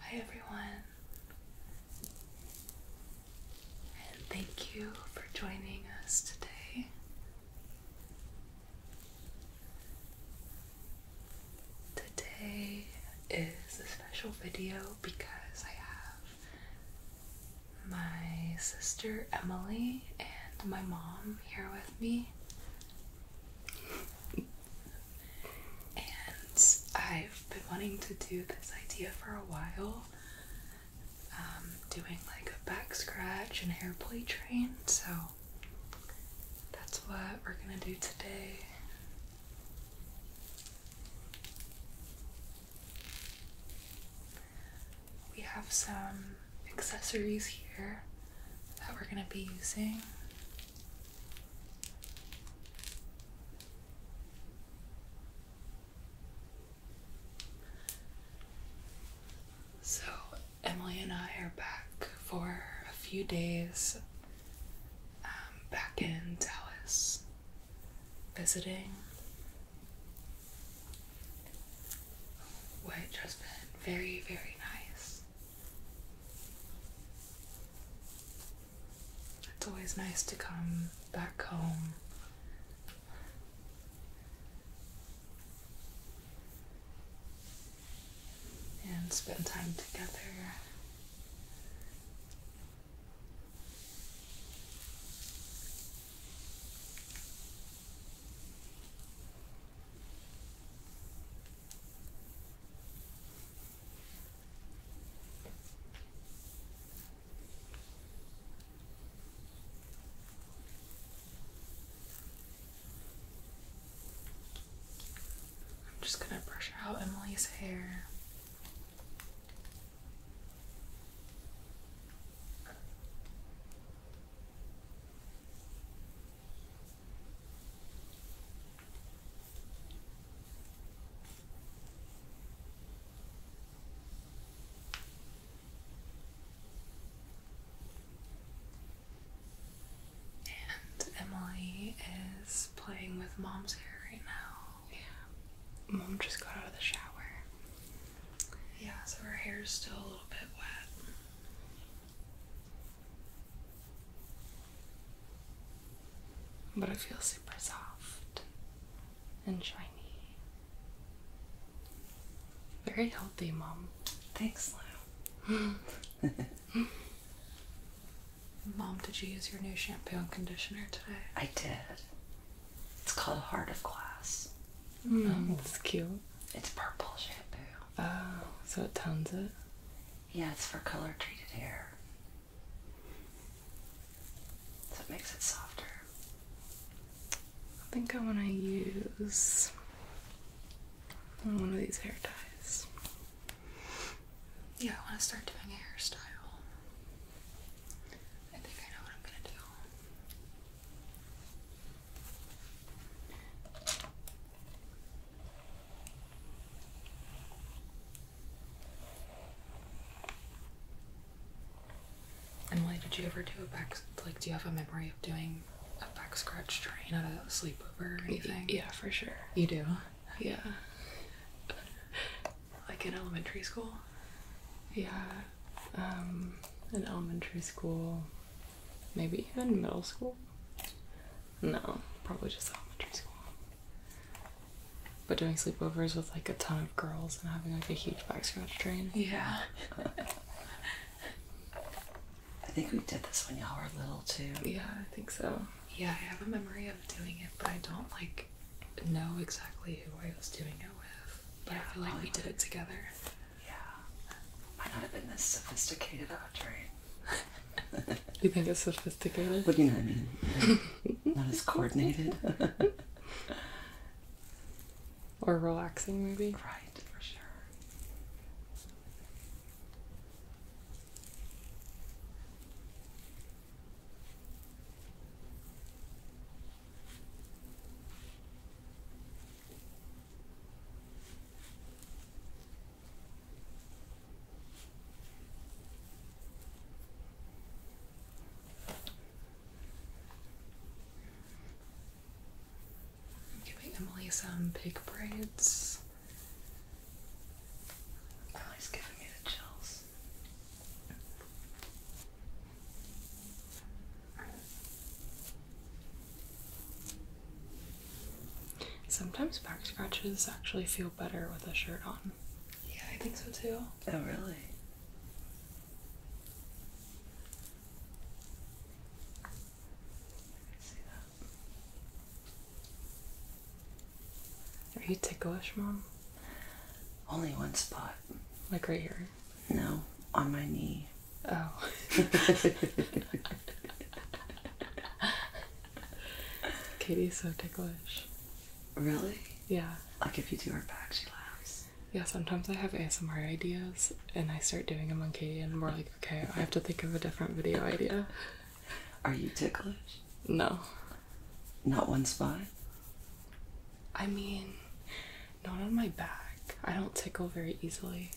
Hi everyone, and thank you for joining us today. Today is a special video because I have my sister Emily and my mom here with me and I've been wanting to do this idea for a while. Um, doing like a back scratch and hair play train, so that's what we're gonna do today. We have some accessories here that we're gonna be using. So, Emily and I are back for a few days um, back in Dallas visiting, which has been very, very nice. It's always nice to come back home. And spend time together. I'm just going to brush out Emily's hair. And Emily is playing with mom's hair right now. Yeah. Mom just got out of the shower. Yeah, so her hair is still a little bit wet. But it feels super soft and shiny. Very healthy, Mom. Thanks, Lou. Mom, did you use your new shampoo and conditioner today? I did. It's called Heart of Glass. Mm, um, It's cute. It's purple shampoo. Oh, so it tones it? Yeah, it's for color treated hair. So it makes it softer. I think I want to use one of these hair ties. Yeah, I want to start doing a hairstyle. I think I know what I'm going to do. Emily, did you ever do a back like do you have a memory of doing a back scratch train at a sleepover or anything? Yeah, for sure. You do? Yeah. like in elementary school? Yeah. Um in elementary school Maybe even middle school? No, probably just elementary school. But doing sleepovers with like a ton of girls and having like a huge back scratch train. Yeah. I think we did this when y'all were little too. Yeah, I think so. Yeah, I have a memory of doing it, but I don't like know exactly who I was doing it with. But I feel like we did it together. Yeah. Might not have been this sophisticated of a train. you think it's sophisticated? But you know what I mean. Not as coordinated. or relaxing, maybe? Right, for sure. I'm giving Emily some pig braids. Emily's giving me the chills. Sometimes back scratches actually feel better with a shirt on. Yeah, I think so too. Oh, really? Are you ticklish, Mom? Only one spot. Like right here? No, on my knee. Oh. Katie's so ticklish. Really? Yeah. Like if you do her back, she laughs. Yeah, sometimes I have ASMR ideas and I start doing them on Katie, and we're like, okay, I have to think of a different video idea. Are you ticklish? No. Not one spot? I mean, not on my back. I don't tickle very easily.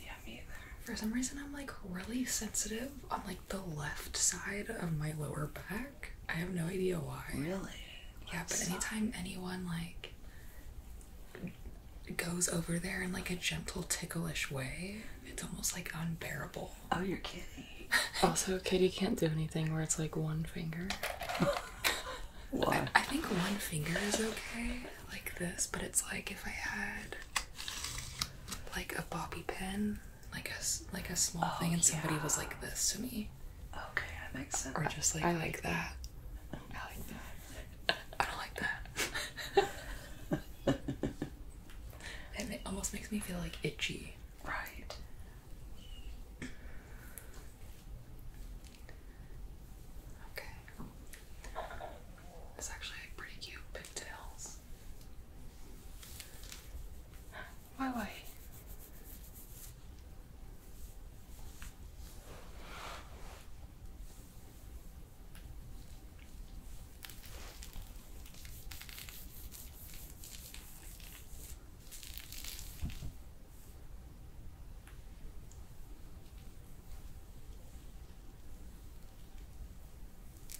For some reason, I'm like really sensitive on like the left side of my lower back. I have no idea why. Really? Yeah, but anytime anyone like goes over there in like a gentle, ticklish way, it's almost like unbearable. Oh, you're kidding. also, Katie can't do anything where it's like one finger. Why? I think one finger is okay, like this, but it's like if I had like a bobby pin, like a like a small oh, thing, and somebody was like this to me. Okay, that makes sense. Or just like I, like that. I like that. I don't like that. it almost makes me feel like itchy. Right. Okay. It's actually pretty cute pigtails. Why, why?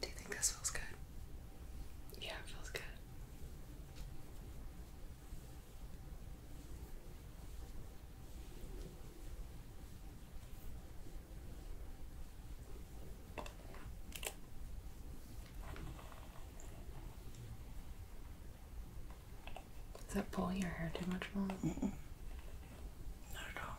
Do you think this feels good? Yeah, it feels good. Is that pulling your hair too much, Mom? Not at all.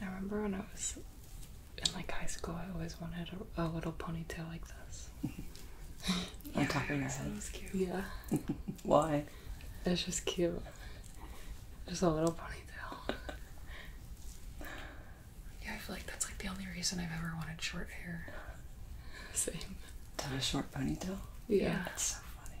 I remember when I was in like high school, I always wanted a, a little ponytail like this on top of your head. Yeah. Why? It's just cute. Just a little ponytail. yeah, I feel like that's like the only reason I've ever wanted short hair. Same. To have a short ponytail? Yeah. It's so funny.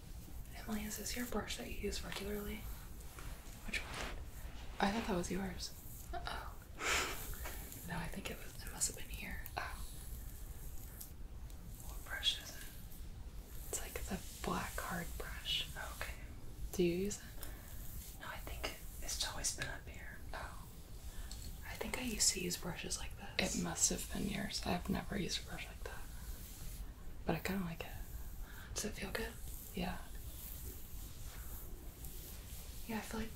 Emily, is this your brush that you use regularly? Which one? I thought that was yours. oh. no, I think it was. It must have been here. Oh. What brush is it? It's like the black hard brush. Oh, okay. Do you use it? No, I think it's always been up here. Oh. I think I used to use brushes like this. It must have been yours. I've never used a brush like that but I kind of like it. Does it feel good? Yeah. Yeah, I feel like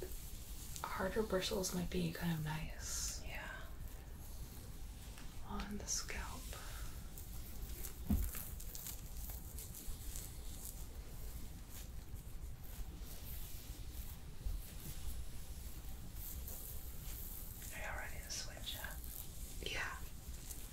harder bristles might be kind of nice. Yeah. On the scalp. Are you ready to switch up? Yeah.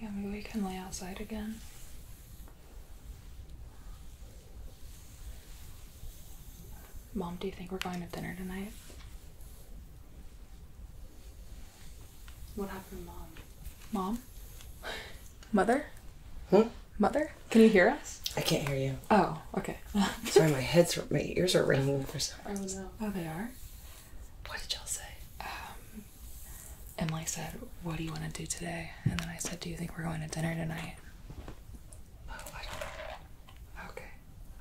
Yeah, maybe we can lay outside again. Mom, do you think we're going to dinner tonight? What happened, Mom? Mom? Mother? Huh? Mother? Can you hear us? I can't hear you. Oh, okay. Sorry, my head's my ears are ringing for some reason. Oh no. Oh, they are. What did y'all say? Um, Emily said, What do you want to do today? And then I said, Do you think we're going to dinner tonight? Oh, I don't Okay.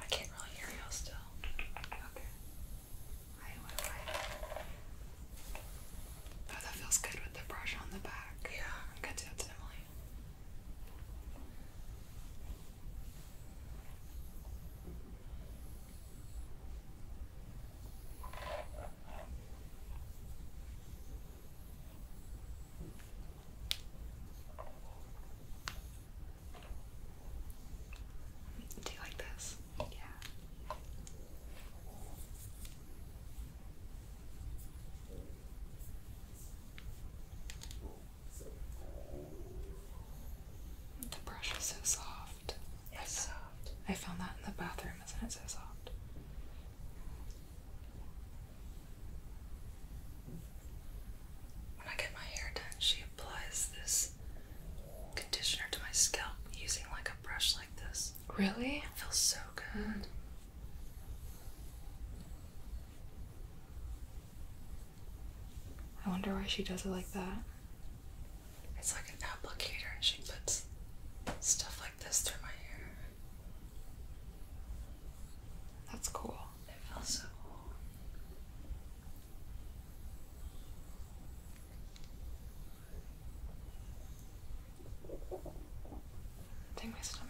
I can't really hear you still. Okay. Oh, that feels good with the brush on the back. Yeah. I'm Emily. Do you like this? Yeah. The brush is so soft. It's soft. I found that in the bathroom, isn't it so soft? When I get my hair done, she applies this conditioner to my scalp using like a brush like this. Really? feels so good. I wonder why she does it like that. It's like an applicator, and she puts stuff like this through my hair. That's cool. It feels so cool. Dang my stomach.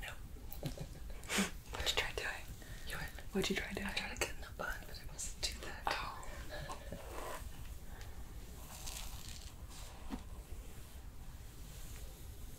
No. What'd you try doing? You What'd you try doing? I tried to get in a bun, but I must do that. Oh.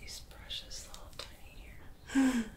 These brushes, little tiny here.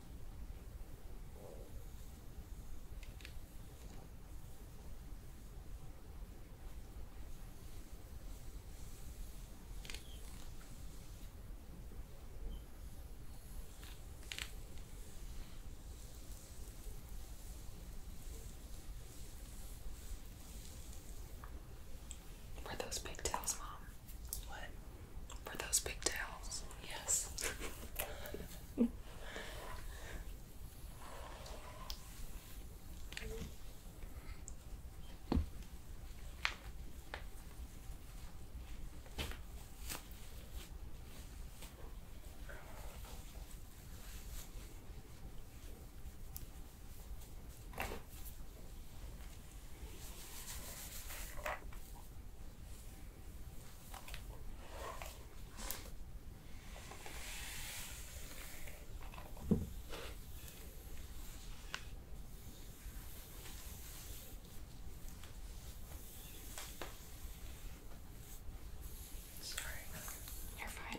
Were those pigtails, Mom? What? For those pigtails, yes. Sorry, you're fine.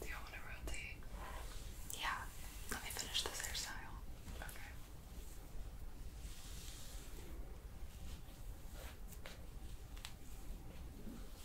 Do you want to rotate? Yeah. Let me finish this hairstyle. Okay.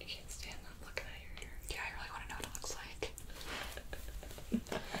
You can't stand up looking at your hair. Yeah, I really want to know what it looks like.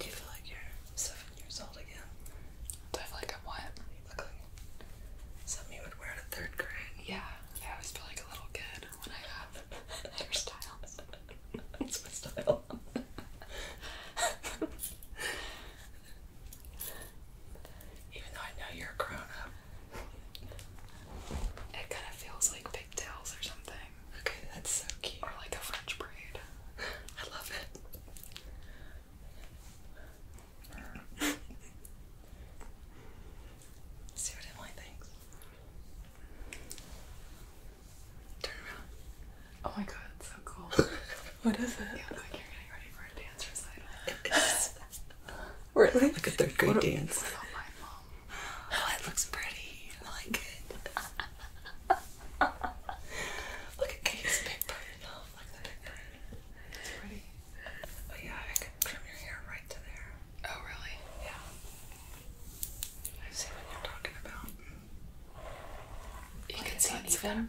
Do you feel like you're seven years old again? Do I feel like i what? something you would wear to third grade. Yeah, I always feel like a little kid when I have hairstyles. That's my style. Even though I know you're a grown up. It kind of feels like pigtails or something. Okay, that's so cute. Or like a French braid. I love it. See what Emily thinks. Turn around. Oh my god, so cool. what is it? dance really? Like a third grade dance. Oh, it looks pretty. I like it. Look at Katie's big Oh, look at the big It's pretty. Oh yeah, I could trim your hair right to there. Oh really? Yeah. I see what you're talking about. You can see even,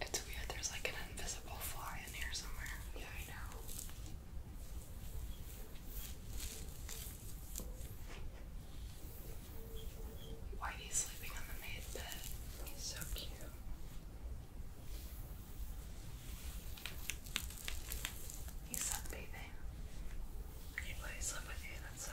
It's weird, there's like an invisible fly in here somewhere. Yeah, I know. Whitey's sleeping on the maid bed. He's so cute. He's sunbathing. I can let with you, that's so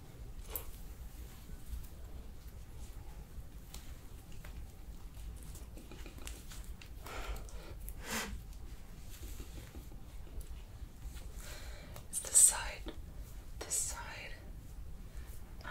It's the side, this side. Um.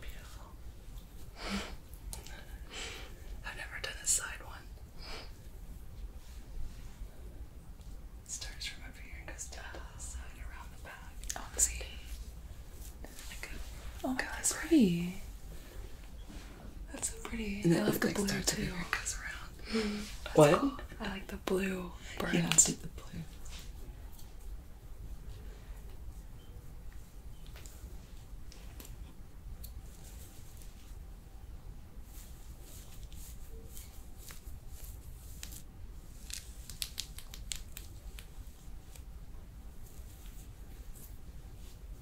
Beautiful. I've never done a side one. starts from over here and goes down around the back. Oh, see. Like a, oh, that's pretty. That's so pretty. And I love the blue too. It goes around. Mm. What? I like the blue birds. Yeah, I like the blue.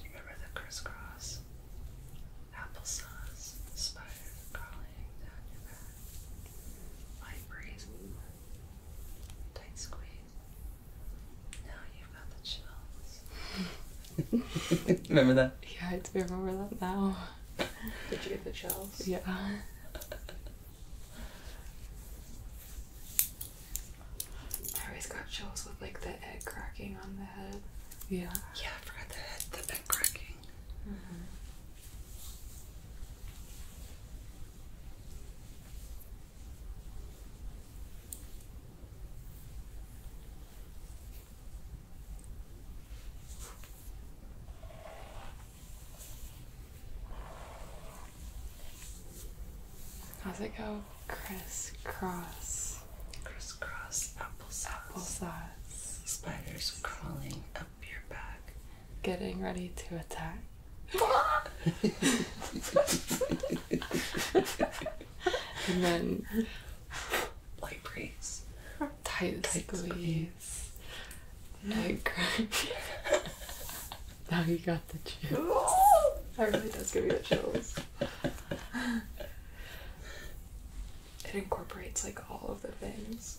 Do you remember the crisscross? Applesauce, spider crawling down your back, light breeze, tight squeeze. Now you've got the chills. remember that? Yeah, I do remember that now. Did you get the shells? Yeah. I always got shells with like the egg cracking on the head. Yeah. Yeah, I forgot the head, the egg cracking. Mm -hmm. How's it go? Crisscross. Crisscross applesauce. Applesauce. Spiders crawling up your back. Getting ready to attack. and then light breeze. Tight, tight squeeze. squeeze. No now you got the chills. that really does give me the chills. It incorporates like all of the things.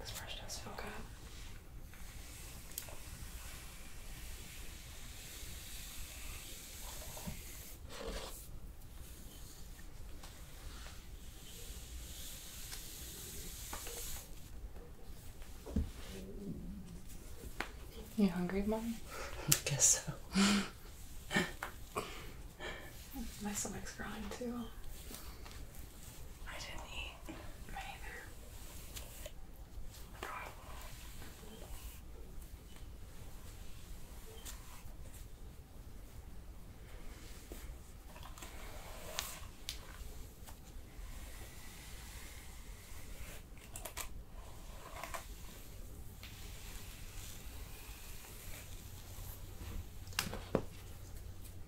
This brush does feel good. You hungry, Mom? I guess so. My stomach's growling too. I didn't eat neither.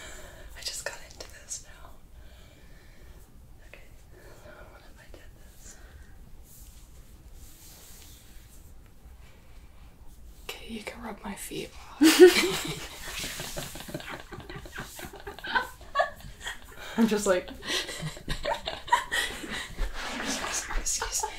I just got into this now. Okay, so what I did this? Okay, you can rub my feet I'm just like. Excuse me.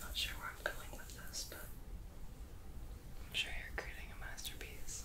Not sure where I'm going with this, but I'm sure you're creating a masterpiece.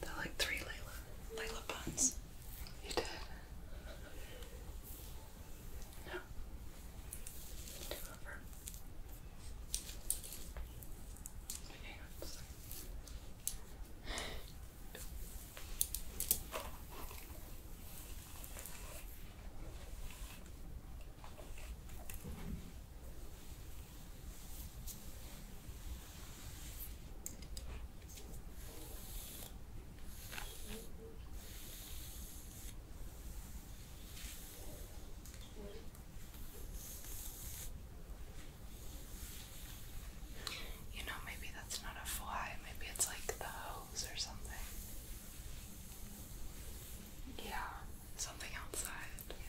They're like three Layla, Layla buns. You did. No. You know, maybe that's not a fly, maybe it's like the hose or something. Yeah. Something outside. Yeah.